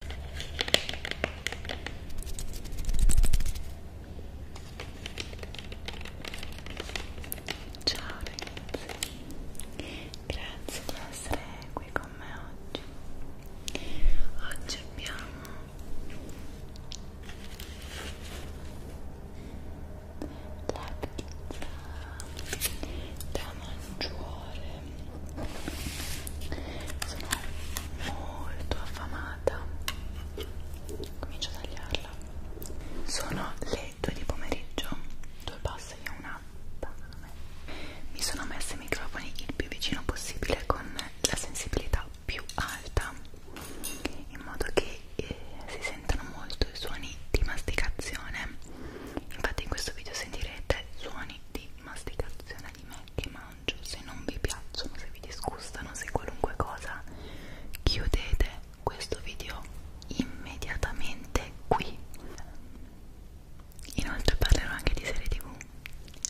Ciao ragazzi, grazie di essere qui con me oggi. Oggi abbiamo la pizza da mangiare sono molto affamata comincio a tagliarla sono le 2 di pomeriggio due passi e una mi sono messa i microfoni il più vicino possibile con la sensibilità più alta in modo che eh, si sentano molto i suoni di masticazione infatti in questo video sentirete suoni di masticazione di me che mangio mangio, se non vi piacciono, se vi disgustano, se qualunque cosa, chiudete questo video immediatamente qui. Inoltre parlerò anche di serie tv,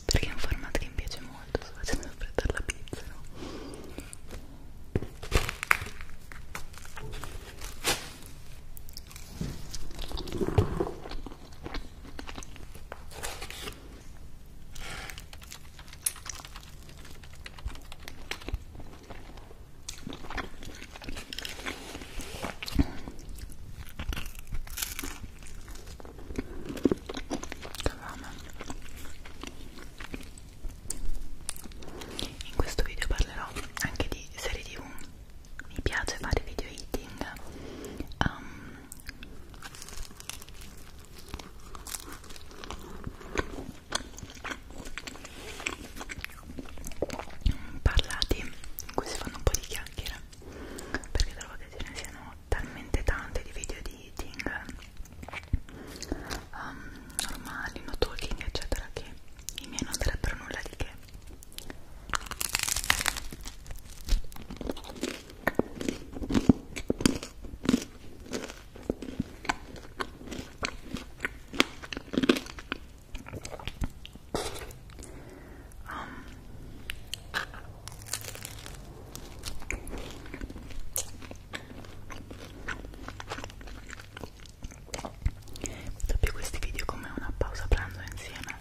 perché è un formato che mi piace molto, sto facendo affrettare la pizza, no? In questo video parlerò anche di serie TV. Mi piace fare video eating. Um, ehm, parlati in cui si fanno un po' di chiacchiere perché trovo che ce ne siano talmente tante di video di eating um, normali, no talking eccetera che i miei non sarebbero nulla di che Dopo questi video come una pausa pranzo insieme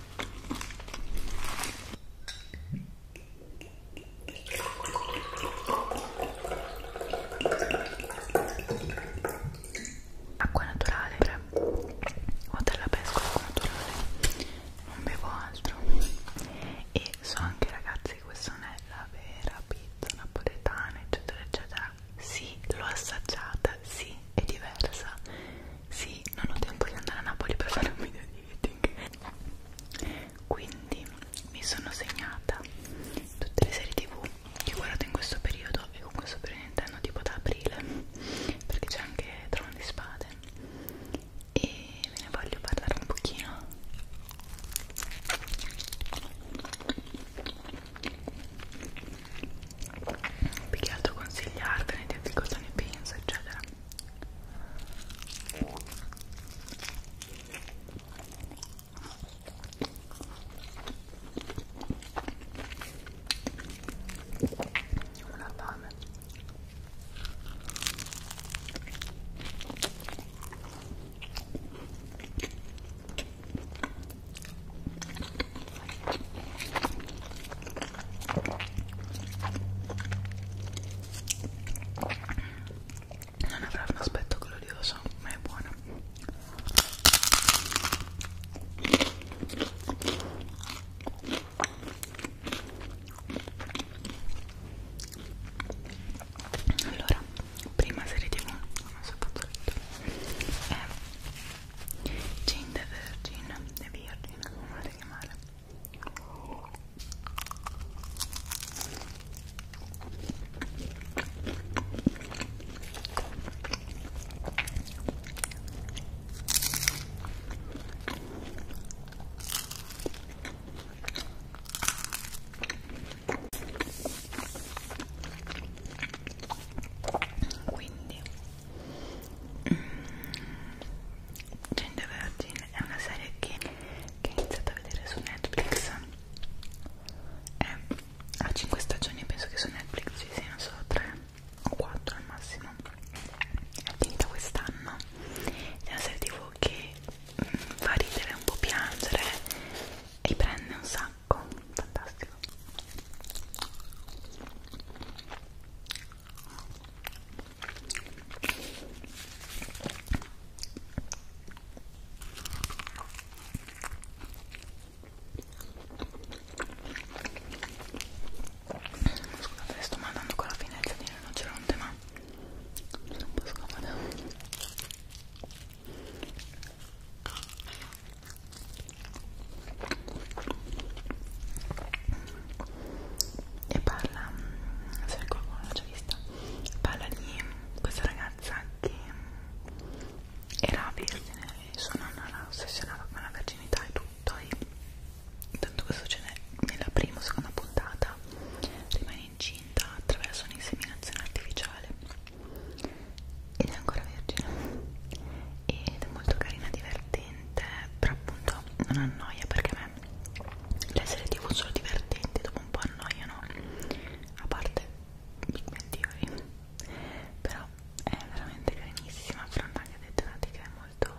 acqua naturale cioè, o della pesca acqua naturale non bevo altro e so anche ragazzi che questa non è la vera pizza napoletana eccetera eccetera sì l'ho assaggiata sì è diversa sì, non ho tempo di andare a Napoli per fare un video di eating. Quindi mi sono segnata tutte le serie tv che ho guardato in questo periodo e con questo periodo intendo tipo da aprile perché c'è anche Trono di Spade e ve ne voglio parlare un pochino più che altro consigliarvene, dirvi cosa ne penso, eccetera. Una fame non avrà un aspetto glorioso ma è buono allora prima serie tv non so fatto detto è Jane the Virgin The Virgin come volete chiamare quindi Gente Vergine è una serie che, che ho iniziato a vedere su Netflix è a 5 stagioni penso che su Netflix ci siano solo 3 o 4 al massimo è finita quest'anno è una serie tv che mm, fa ridere un po' piangere e prende un sacco fantastico Scusate, sto mandando con la finezza di rinoceronte, ma sono un po' scomoda e parla, mm, se qualcuno l'ha già vista, parla di questa ragazza che mm, era vergine e sua nonna era ossessionata con la verginità e tutto e tanto questo succede nella prima o seconda puntata rimane incinta attraverso un'inseminazione artificiale ed è ancora vergine ed è molto carina, divertente divertente però appunto non annoia perché a me le serie tv sono divertenti dopo un po' annoiano a parte Big Bang Theory però è veramente carinissima affronta anche delle tematiche molto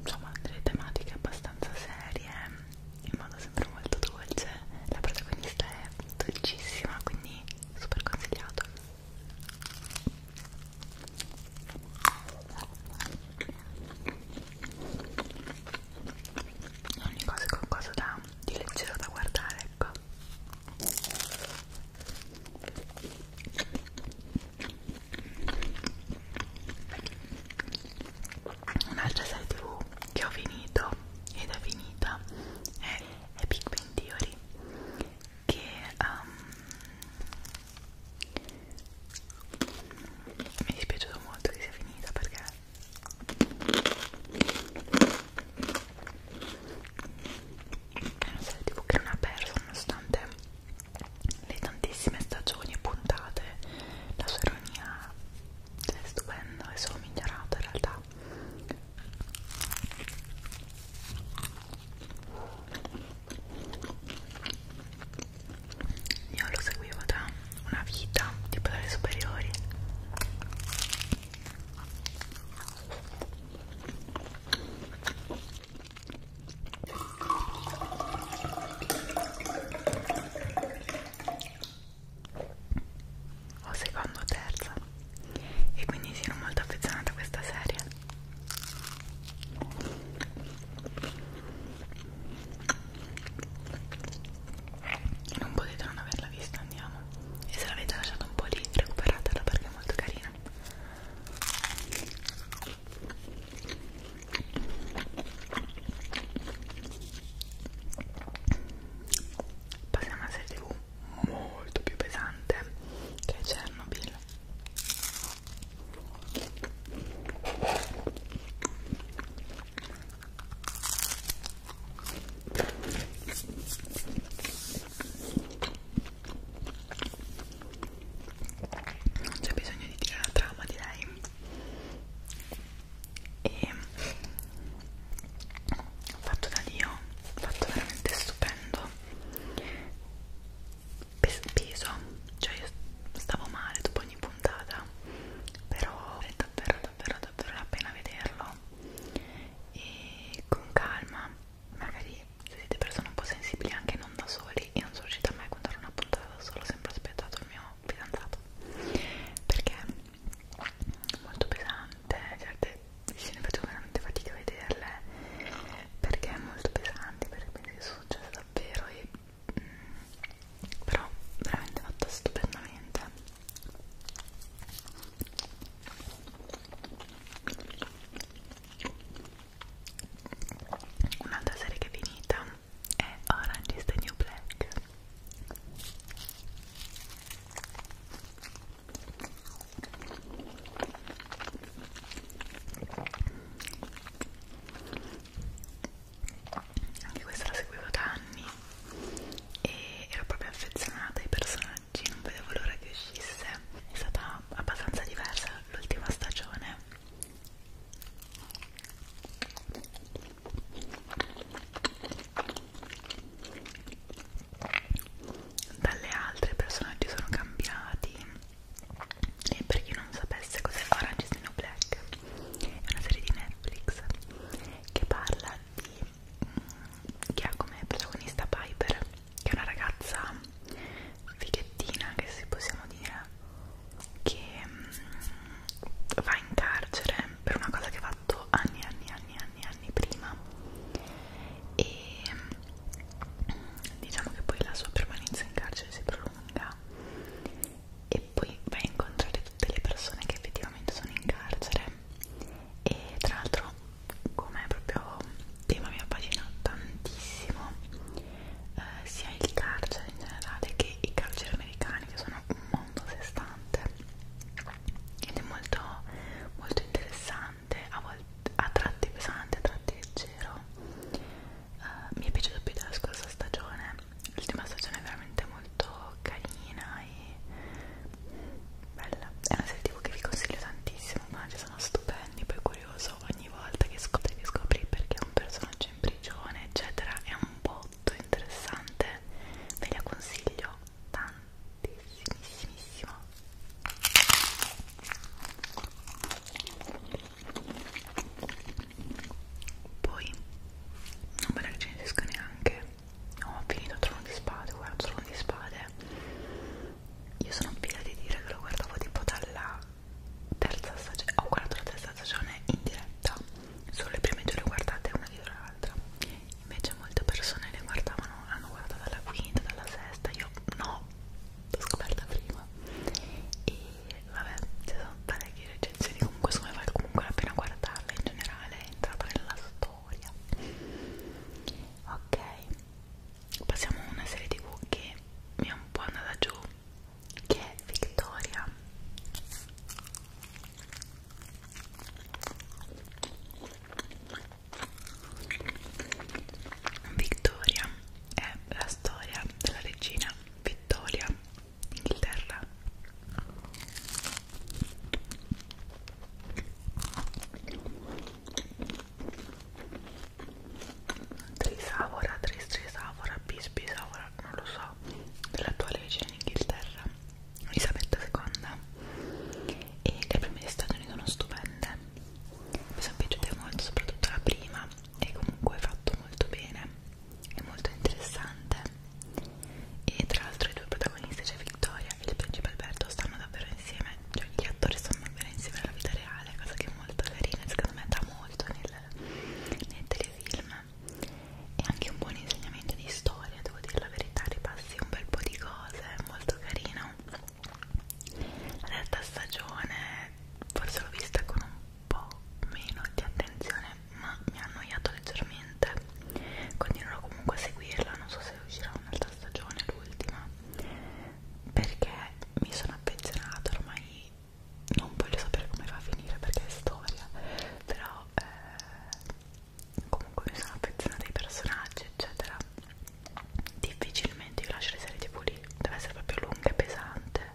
insomma delle tematiche abbastanza serie in modo sempre molto dolce la protagonista è dolcissima quindi super consigliato ogni cosa è qualcosa da, di leggero da guardare ecco un'altra serie tv che ho finito ed è finita è, è Big Bang Theory che um, mi è dispiaciuto molto che sia finita perché è una serie tv che non ha perso nonostante le tantissime stagioni e puntate la sua ironia cioè, è stupenda è solo migliorata in realtà io lo seguivo da una vita tipo dalle superiori o seconda o terza e quindi sono molto affezionata a questa serie e non potete non averla vista andiamo e se l'avete lasciata un po' lì recuperatela perché è molto carina passiamo alla serie tv molto più pesante che Chernobyl non c'è bisogno di dire la trama direi e fatto da Dio fatto veramente stupendo peso cioè io stavo male dopo ogni puntata però è davvero davvero davvero la pena vederlo e con calma magari se siete persone un po' sensibili anche non da soli io non sono riuscita mai a contare una puntata da solo ho sempre aspettato il mio fidanzato perché è molto pesante certe vicine faccio veramente fatica a vederle perché è molto pesante perché penso che sia successo davvero e mh, mm, però veramente fatta stupendamente un'altra serie che è finita è Orange is the New Black anche questa la seguivo da anni e ero proprio affezionata ai personaggi non vedevo l'ora che uscisse è stata abbastanza diversa l'ultima stagione dalle altre i personaggi sono cambiati e per chi non sapesse cos'è Orange is the New Black è una serie di Netflix che parla di mm, che ha come protagonista Piper che è una ragazza fighettina che si possiamo dire che mm, va in carcere per una cosa che ha fatto anni anni anni anni anni prima e diciamo che poi la sua permanenza in carcere si prolunga e poi vai a incontrare tutte le persone che effettivamente sono in carcere e tra l'altro come proprio tema mi appassiona tantissimo eh, sia il carcere in generale che i carceri americani che sono un mondo a sé stante ed è molto, molto interessante pesante, a, volte, a tratti pesante, a tratti leggero. Uh, mi è piaciuto più della scorsa stagione. L'ultima stagione è veramente molto carina e bella. È una serie TV che vi consiglio tantissimo, ma ci sono stupendi, poi curioso ogni volta che scopri, che scopri perché un personaggio in prigione, eccetera, è un botto interessante. Ve la consiglio tantissimissimo poi non me la recensisco neanche. Oh, ho finito Trono di Spade, guardo Trono di Spade. Io sono pia di dire che lo guardavo tipo dalla terza stagione. Ho guardato la terza stagione in diretta, solo le prime due le guardate una dietro l'altra. Invece molte persone le guardavano, hanno guardato dalla quinta, dalla sesta, io no l'ho scoperta prima e vabbè ci sono parecchie recensioni comunque secondo me vale comunque la pena guardarla in generale è entrata nella storia ok passiamo a una serie tv che mi è un po' andata giù che è Victoria Victoria è la storia della regina Vittoria d'Inghilterra. Trisavora, Tristrisavora, Bisbisavora, non lo so, dell'attuale regina in Inghilterra, Elisabetta II. E le prime di Stati Uniti sono stupende mi sono piaciute molto soprattutto la prima e comunque è fatto molto bene è molto interessante e tra l'altro i due protagonisti c'è cioè Victoria e il principe Alberto stanno davvero insieme cioè gli attori stanno davvero insieme alla vita reale cosa che è molto carina secondo me dà molto nel, nel telefilm e anche un buon insegnamento di storia devo dire la verità ripassi un bel po' di cose è molto carino la terza stagione forse l'ho vista con un po' meno di attenzione ma mi ha annoiato leggermente continuerò comunque a seguirla non so se uscirà un'altra stagione l'ultima perché mi sono affezionata ormai non voglio sapere come va a finire perché è storia però eh, comunque mi sono affezionata ai personaggi eccetera difficilmente io lascio le serie tv lì deve essere proprio lunga e pesante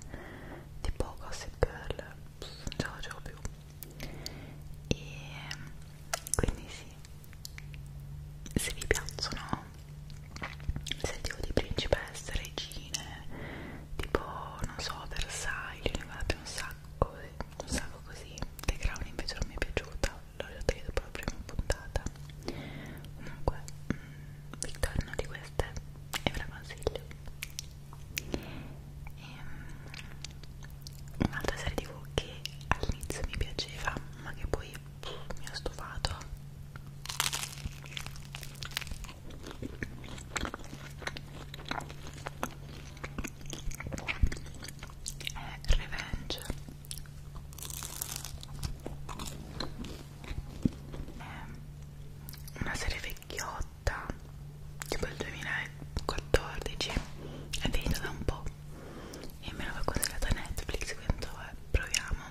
tipo Gossip Girl Pff, non ce la facevo più e quindi sì se vi piacciono le serie tv di principesse, regine tipo non so Versailles ne guardo un sacco un sacco così The Crown invece non mi è piaciuta l'ho detto proprio in puntata comunque Victoria mm, una di queste e ve la consiglio e, ehm, un'altra serie tv che all'inizio mi piaceva ma che poi pff, mi ha stufato è Revenge è ehm, una serie vecchiotta tipo il 2014 è finita da un po' e me l'aveva consigliata Netflix quindi eh, proviamo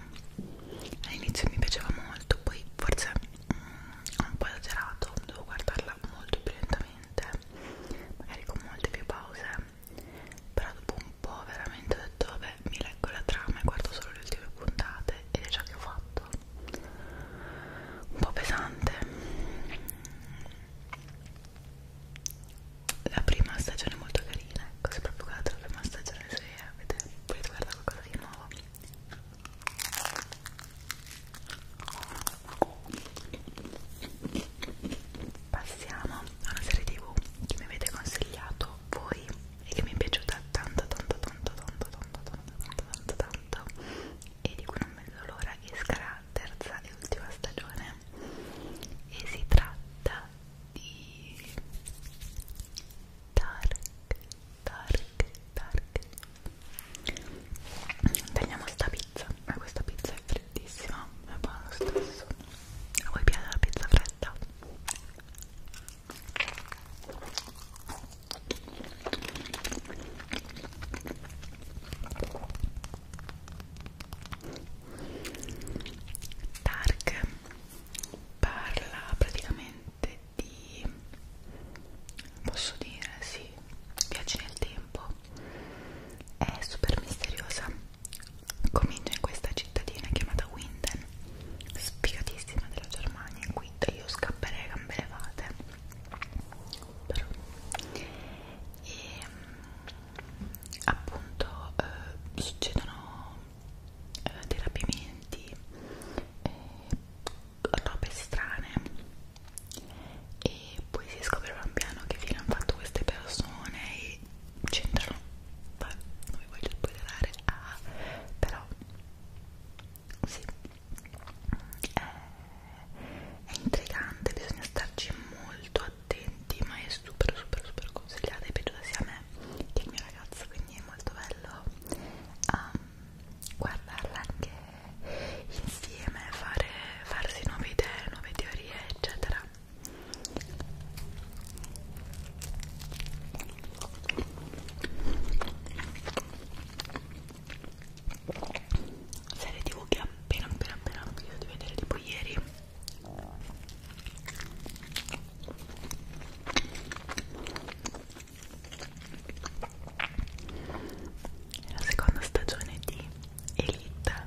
all'inizio mi piaceva molto poi forse mh, mm, un po' esagerato devo guardarla molto più lentamente magari con molte più pause però dopo un po' veramente ho detto vabbè mi leggo la trama e guardo solo le ultime puntate ed è ciò che ho fatto un po' pesante la prima stagione è molto carina ecco se proprio guardate la prima stagione se avete, volete guardare qualcosa di nuovo passiamo a una serie tv che mi avete consigliato voi e che mi è piaciuta tanto tanto tanto tanto tanto tanto tanto tanto tanto e di cui non vedo l'ora che sarà terza e ultima stagione e si tratta di Dark Dark Dark tagliamo sta pizza ma questa pizza è freddissima è buona lo stesso a voi piace la pizza fredda? aspetta Dark parla praticamente di posso dire sì viaggi nel tempo è super misteriosa comincia in questa cittadina chiamata Winden, sfigatissima della Germania, in cui io scapperei a gambe levate. Però. E ehm, appunto eh, succedono eh, dei rapimenti, eh, robe strane e poi si scopre pian piano che fine hanno fatto queste persone e c'entrano Beh, non vi voglio spoilerare ah, però sì è, eh, è intrigante bisogna starci molto attenti ma è super super super consigliata è piaciuta sia a me che al mio ragazzo quindi è molto bello um, guardarla anche insieme fare, farsi nuove idee nuove teorie eccetera serie tv che appena appena appena ho finito di vedere tipo ieri la seconda stagione di Elite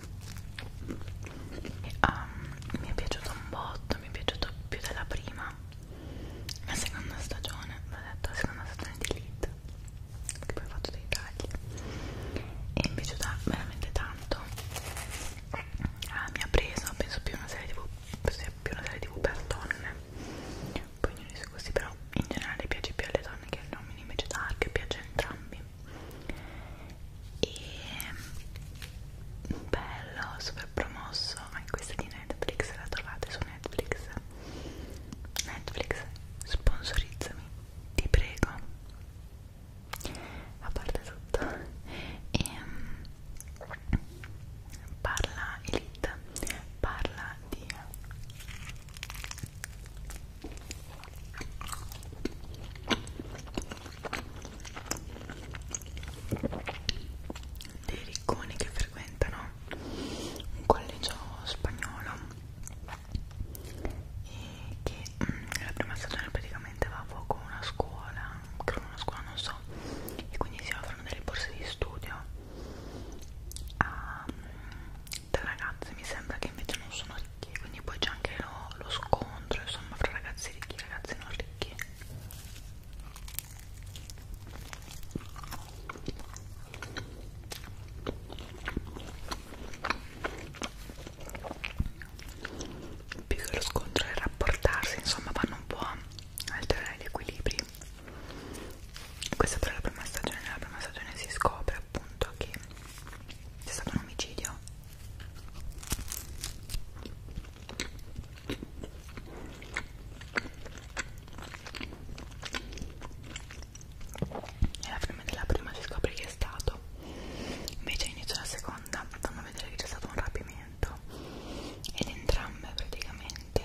um, mi è piaciuto un botto mi è piaciuto più della prima la seconda stagione l'ho detto la seconda stagione di Elite che poi ho fatto dei tagli e mi è piaciuta veramente tanto ah, mi ha preso penso più una serie tv più una serie tv per donne poi ognuno i suoi gusti però in generale piace più alle donne che agli uomini invece da Dark piace a entrambi e mm, bello, super promosso anche questa di Netflix, la trovate su Netflix Netflix, sponsorizzami, ti prego a parte tutto e um, parla Elite parla di dei ricconi che frequentano un collegio spagnolo e che nella mm, prima stagione praticamente va a fuoco una scuola, credo una scuola non so, e quindi si offrono delle borse di studio a, da mm, ragazze mi sembra che invece non sono ricchi quindi poi c'è anche lo, lo scontro insomma fra ragazzi ricchi e ragazzi non ricchi più che lo scontro è rapportarsi insomma vanno un po' a alterare gli equilibri questa però è la prima stagione nella prima stagione si scopre appunto che c'è stato un omicidio alla fine della prima si scopre chi è stato invece inizio la seconda fanno vedere che c'è stato un rapimento ed entrambe praticamente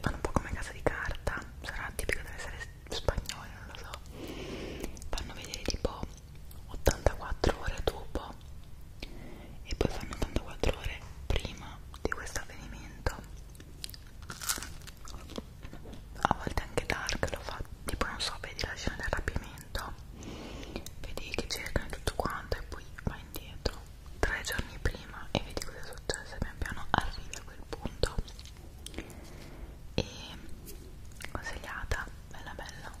fanno un po' come casa di carta sarà tipico deve essere spagnolo non lo so fanno vedere tipo 84 ore dopo e poi fanno 84 ore prima di questo avvenimento a volte anche Dark lo fa tipo non so vedi la scena del rapimento vedi che cercano tutto quanto e poi va indietro tre giorni prima e vedi cosa è successo e pian piano arrivi a quel punto e consigliata bella bella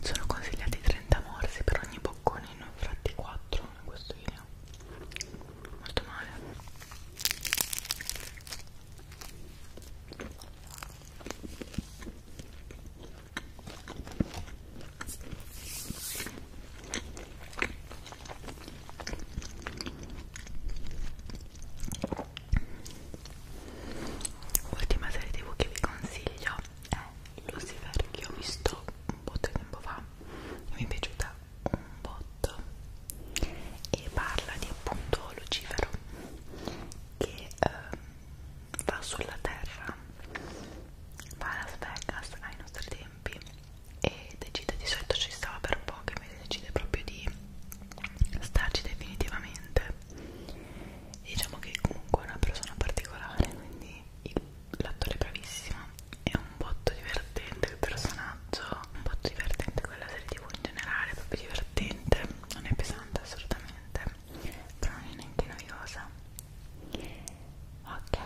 sono consigliati 30 morsi per ogni boccone ne ho fatti 4 in questo video molto male Ultima serie tv che vi consiglio è eh, Lucifer che ho visto un botto di tempo fa e mi è piaciuta un botto e parla di appunto Lucifero che ehm, va sulla terra va a Las Vegas ai nostri tempi e decide di solito ci stava per un po' che invece decide proprio di starci definitivamente e diciamo che comunque è una persona particolare quindi il l'attore è bravissimo, è un botto divertente il personaggio, un botto divertente quella serie tv in generale, proprio divertente, non è pesante assolutamente, però non è neanche noiosa. Ok,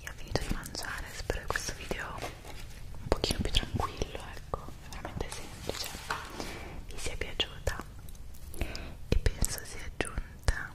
io ho finito di mangiare, spero che questo video un pochino più tranquillo, ecco, è veramente semplice, vi sia piaciuta e penso sia giunta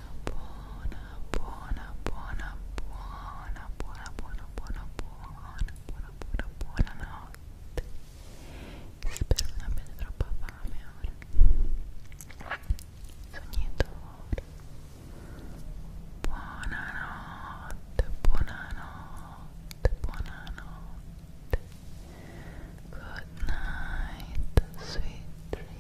buona, buona, buona, buona, buona, buona, buona, buona, buona, buona, buona notte. Spero non abbiate troppa fame ora. Sognatore. Buonanotte, buonanotte, buonanotte. Good night, sweet dreams.